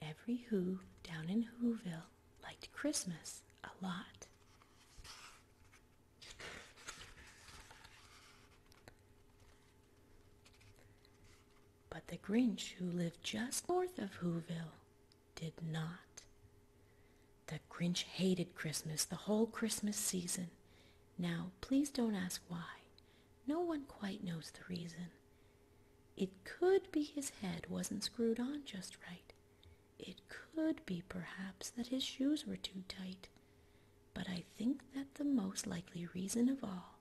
Every who down in Whoville liked Christmas a lot. But the Grinch who lived just north of Whoville did not. The Grinch hated Christmas the whole Christmas season. Now, please don't ask why. No one quite knows the reason. It could be his head wasn't screwed on just right. It could be, perhaps, that his shoes were too tight. But I think that the most likely reason of all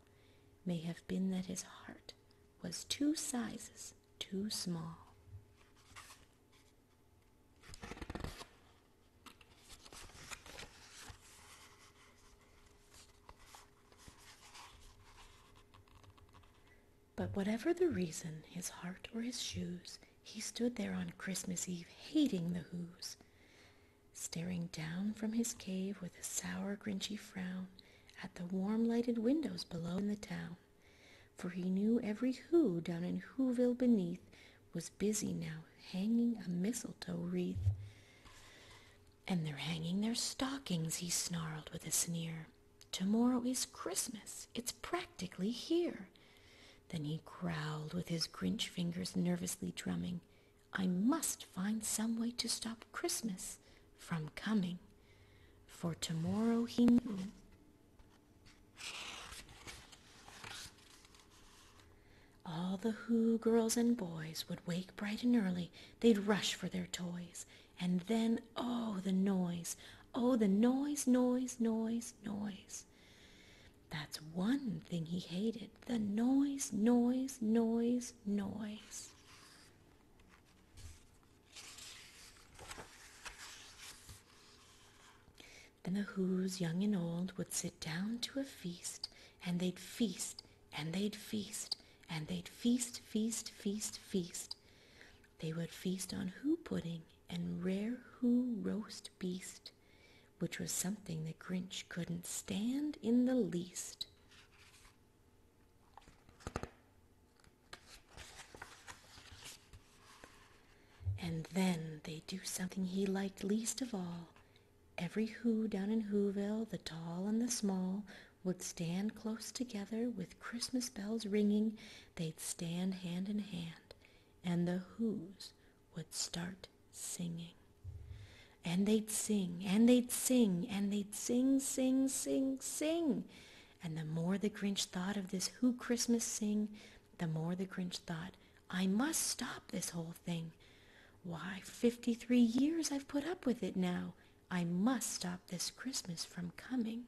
may have been that his heart was two sizes too small. But whatever the reason, his heart or his shoes, he stood there on Christmas Eve hating the Who's, staring down from his cave with a sour, grinchy frown at the warm lighted windows below in the town for he knew every who down in Whoville beneath was busy now hanging a mistletoe wreath. And they're hanging their stockings, he snarled with a sneer. Tomorrow is Christmas. It's practically here. Then he growled with his Grinch fingers nervously drumming. I must find some way to stop Christmas from coming. For tomorrow he knew all the Who girls and boys would wake bright and early. They'd rush for their toys. And then, oh, the noise. Oh, the noise, noise, noise, noise. That's one thing he hated. The noise, noise, noise, noise. Then the Who's, young and old, would sit down to a feast, and they'd feast, and they'd feast, and they'd feast, feast, feast, feast. They would feast on Who pudding and rare Who roast beast, which was something that Grinch couldn't stand in the least. And then they would do something he liked least of all. Every who down in Whoville, the tall and the small, would stand close together with Christmas bells ringing. They'd stand hand in hand, and the who's would start singing. And they'd sing, and they'd sing, and they'd sing, sing, sing, sing. And the more the Grinch thought of this Who Christmas Sing, the more the Grinch thought, I must stop this whole thing. Why, 53 years I've put up with it now. I must stop this Christmas from coming.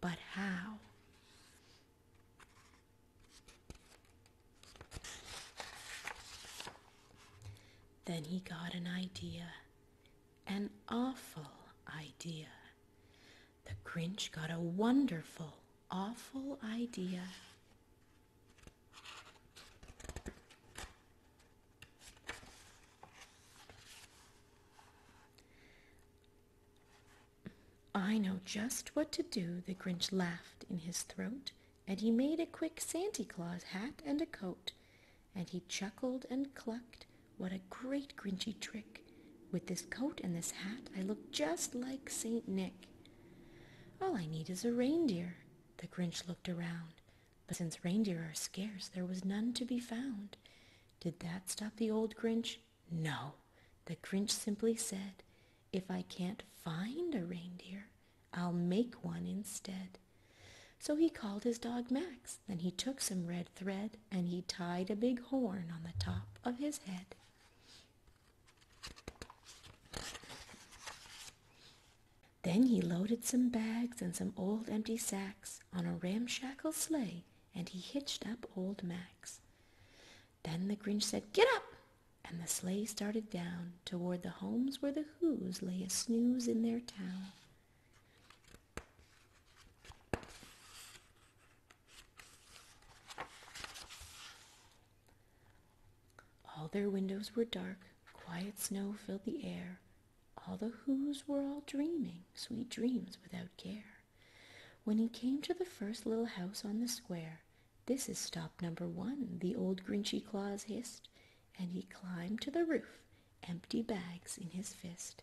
But how? Then he got an idea, an awful idea the Grinch got a wonderful, awful idea. I know just what to do, the Grinch laughed in his throat, and he made a quick Santa Claus hat and a coat, and he chuckled and clucked what a great Grinchy trick! With this coat and this hat, I look just like St. Nick. All I need is a reindeer. The Grinch looked around, but since reindeer are scarce, there was none to be found. Did that stop the old Grinch? No. The Grinch simply said, If I can't find a reindeer, I'll make one instead. So he called his dog Max then he took some red thread and he tied a big horn on the top of his head. Then he loaded some bags and some old empty sacks on a ramshackle sleigh and he hitched up old Max. Then the Grinch said, Get up! And the sleigh started down toward the homes where the Who's lay a snooze in their town. All their windows were dark, quiet snow filled the air. All the who's were all dreaming, sweet dreams without care. When he came to the first little house on the square, this is stop number one, the old Grinchy Claus hissed, and he climbed to the roof empty bags in his fist.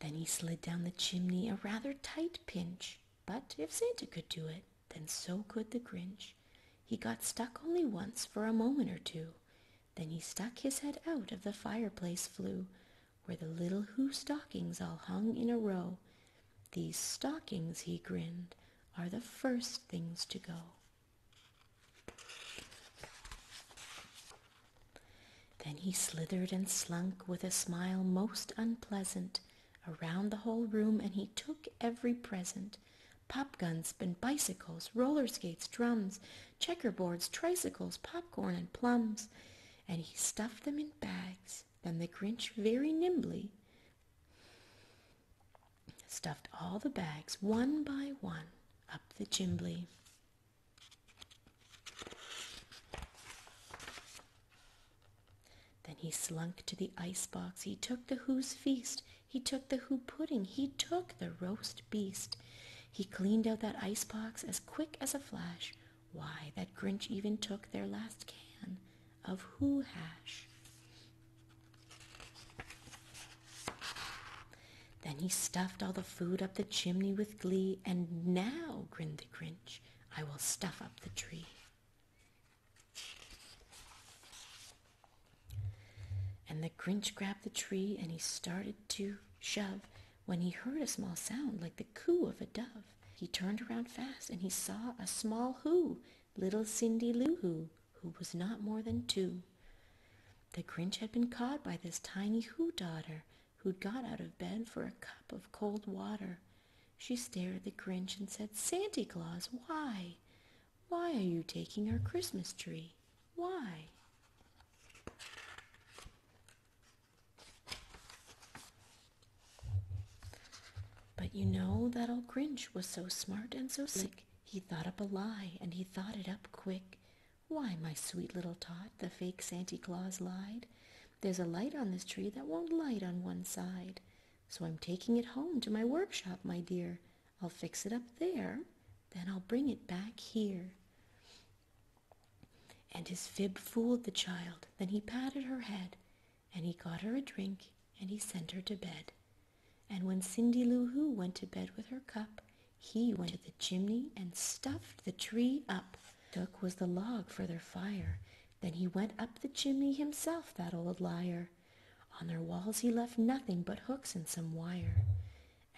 Then he slid down the chimney a rather tight pinch, but if Santa could do it, then so could the Grinch. He got stuck only once for a moment or two. Then he stuck his head out of the fireplace flue, where the little who stockings all hung in a row. These stockings, he grinned, are the first things to go. Then he slithered and slunk with a smile most unpleasant Around the whole room, and he took every present Popguns and bicycles, roller skates, drums, Checkerboards, tricycles, popcorn and plums And he stuffed them in bags. Then the Grinch very nimbly stuffed all the bags one by one up the chimbley. Then he slunk to the ice box. He took the who's feast. He took the who pudding. He took the roast beast. He cleaned out that ice box as quick as a flash. Why, that Grinch even took their last can of who hash. Then he stuffed all the food up the chimney with glee, and now, grinned the Grinch, I will stuff up the tree. And the Grinch grabbed the tree and he started to shove when he heard a small sound like the coo of a dove. He turned around fast and he saw a small who little Cindy Lou Who, who was not more than two. The Grinch had been caught by this tiny Who daughter who'd got out of bed for a cup of cold water. She stared at the Grinch and said, Santa Claus, why? Why are you taking our Christmas tree? Why? But you know that old Grinch was so smart and so sick, he thought up a lie, and he thought it up quick. Why, my sweet little tot, the fake Santa Claus lied. There's a light on this tree that won't light on one side. So I'm taking it home to my workshop, my dear. I'll fix it up there, then I'll bring it back here. And his fib fooled the child. Then he patted her head and he got her a drink and he sent her to bed. And when Cindy Lou went to bed with her cup, he went to the chimney and stuffed the tree up. Took was the log for their fire. Then he went up the chimney himself, that old liar. On their walls he left nothing but hooks and some wire.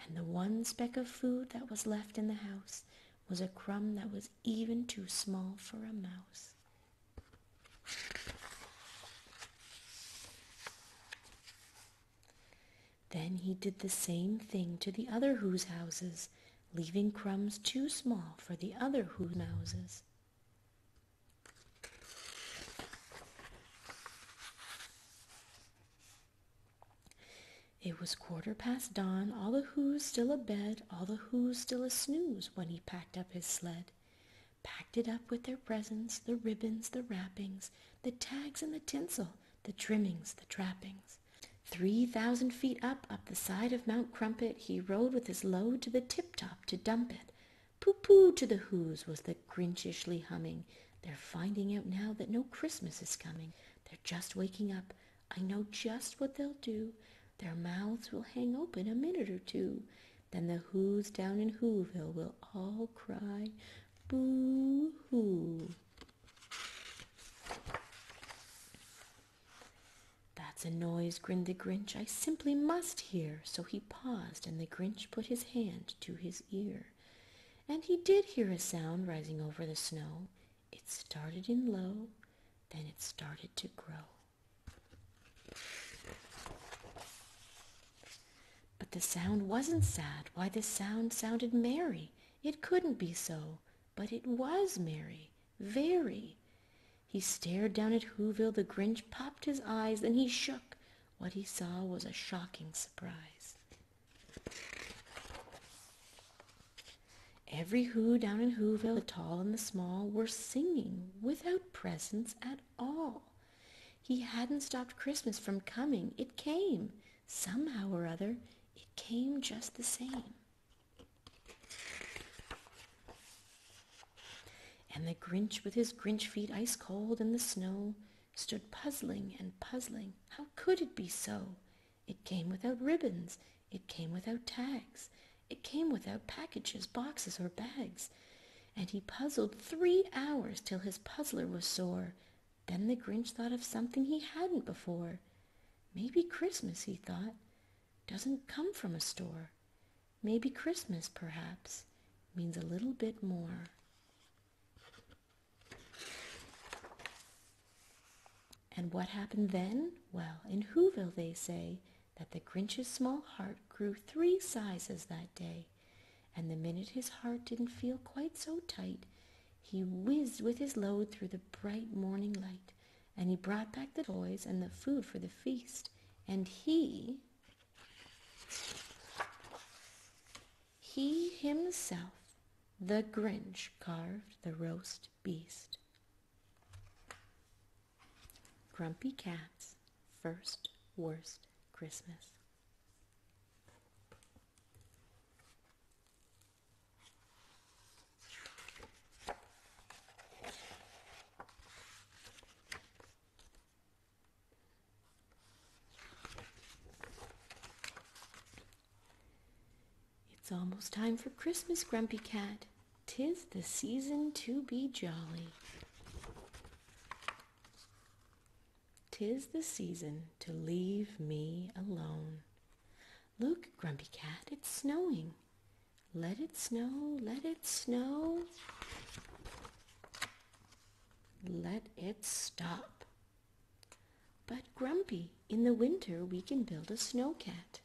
And the one speck of food that was left in the house was a crumb that was even too small for a mouse. Then he did the same thing to the other Who's houses, leaving crumbs too small for the other Who's houses. It was quarter past dawn, all the Who's still abed all the whoos still a snooze when he packed up his sled. Packed it up with their presents, the ribbons, the wrappings, the tags and the tinsel, the trimmings, the trappings. Three thousand feet up, up the side of Mount Crumpet, he rode with his load to the tip-top to dump it. Pooh-pooh to the whoos was the grinchishly humming. They're finding out now that no Christmas is coming. They're just waking up. I know just what they'll do. Their mouths will hang open a minute or two. Then the who's down in Whoville will all cry, boo hoo. That's a noise, grinned the Grinch, I simply must hear. So he paused, and the Grinch put his hand to his ear. And he did hear a sound rising over the snow. It started in low, then it started to grow. But the sound wasn't sad. Why, the sound sounded merry. It couldn't be so, but it was merry, very. He stared down at Whoville. The Grinch popped his eyes, then he shook. What he saw was a shocking surprise. Every who down in Whoville, the tall and the small, were singing without presents at all. He hadn't stopped Christmas from coming. It came. Somehow or other, it came just the same. And the Grinch, with his Grinch feet ice cold in the snow, stood puzzling and puzzling. How could it be so? It came without ribbons. It came without tags. It came without packages, boxes, or bags. And he puzzled three hours till his puzzler was sore. Then the Grinch thought of something he hadn't before. Maybe Christmas, he thought, doesn't come from a store. Maybe Christmas, perhaps, means a little bit more. And what happened then? Well, in Whoville they say that the Grinch's small heart grew three sizes that day, and the minute his heart didn't feel quite so tight, he whizzed with his load through the bright morning light, and he brought back the toys and the food for the feast, and he, he himself, the Grinch, carved the roast beast, Grumpy Cat's First Worst Christmas. It's almost time for Christmas, Grumpy Cat. Tis the season to be jolly. Tis the season to leave me alone. Look, Grumpy Cat, it's snowing. Let it snow, let it snow. Let it stop. But Grumpy, in the winter we can build a snow cat.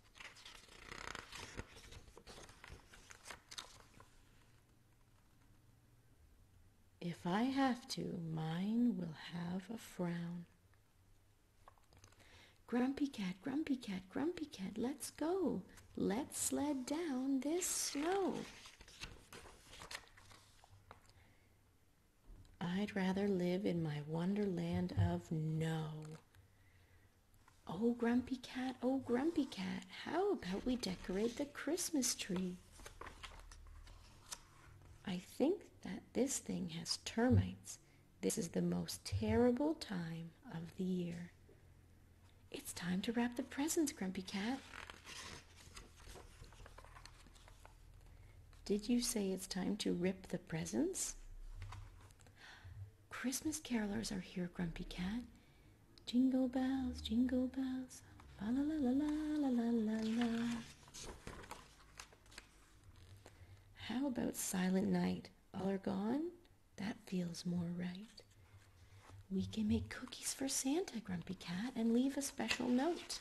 If I have to, mine will have a frown. Grumpy cat, grumpy cat, grumpy cat, let's go. Let's sled down this snow. I'd rather live in my wonderland of no. Oh, Grumpy Cat, oh, Grumpy Cat, how about we decorate the Christmas tree? I think that this thing has termites. This is the most terrible time of the year. It's time to wrap the presents, Grumpy Cat. Did you say it's time to rip the presents? Christmas carolers are here, Grumpy Cat. Jingle bells, jingle bells, la la la la la la la la. How about Silent Night? All are gone? That feels more right. We can make cookies for Santa, Grumpy Cat, and leave a special note.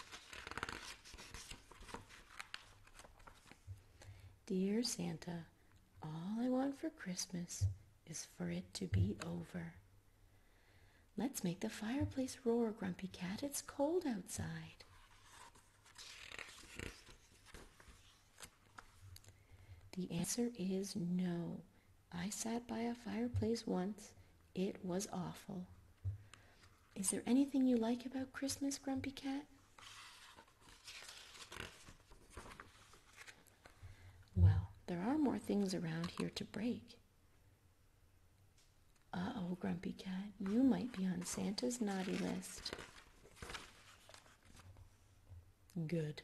Dear Santa, all I want for Christmas is for it to be over. Let's make the fireplace roar, Grumpy Cat. It's cold outside. The answer is no. I sat by a fireplace once. It was awful. Is there anything you like about Christmas, Grumpy Cat? Well, there are more things around here to break. Uh oh, Grumpy Cat, you might be on Santa's naughty list. Good.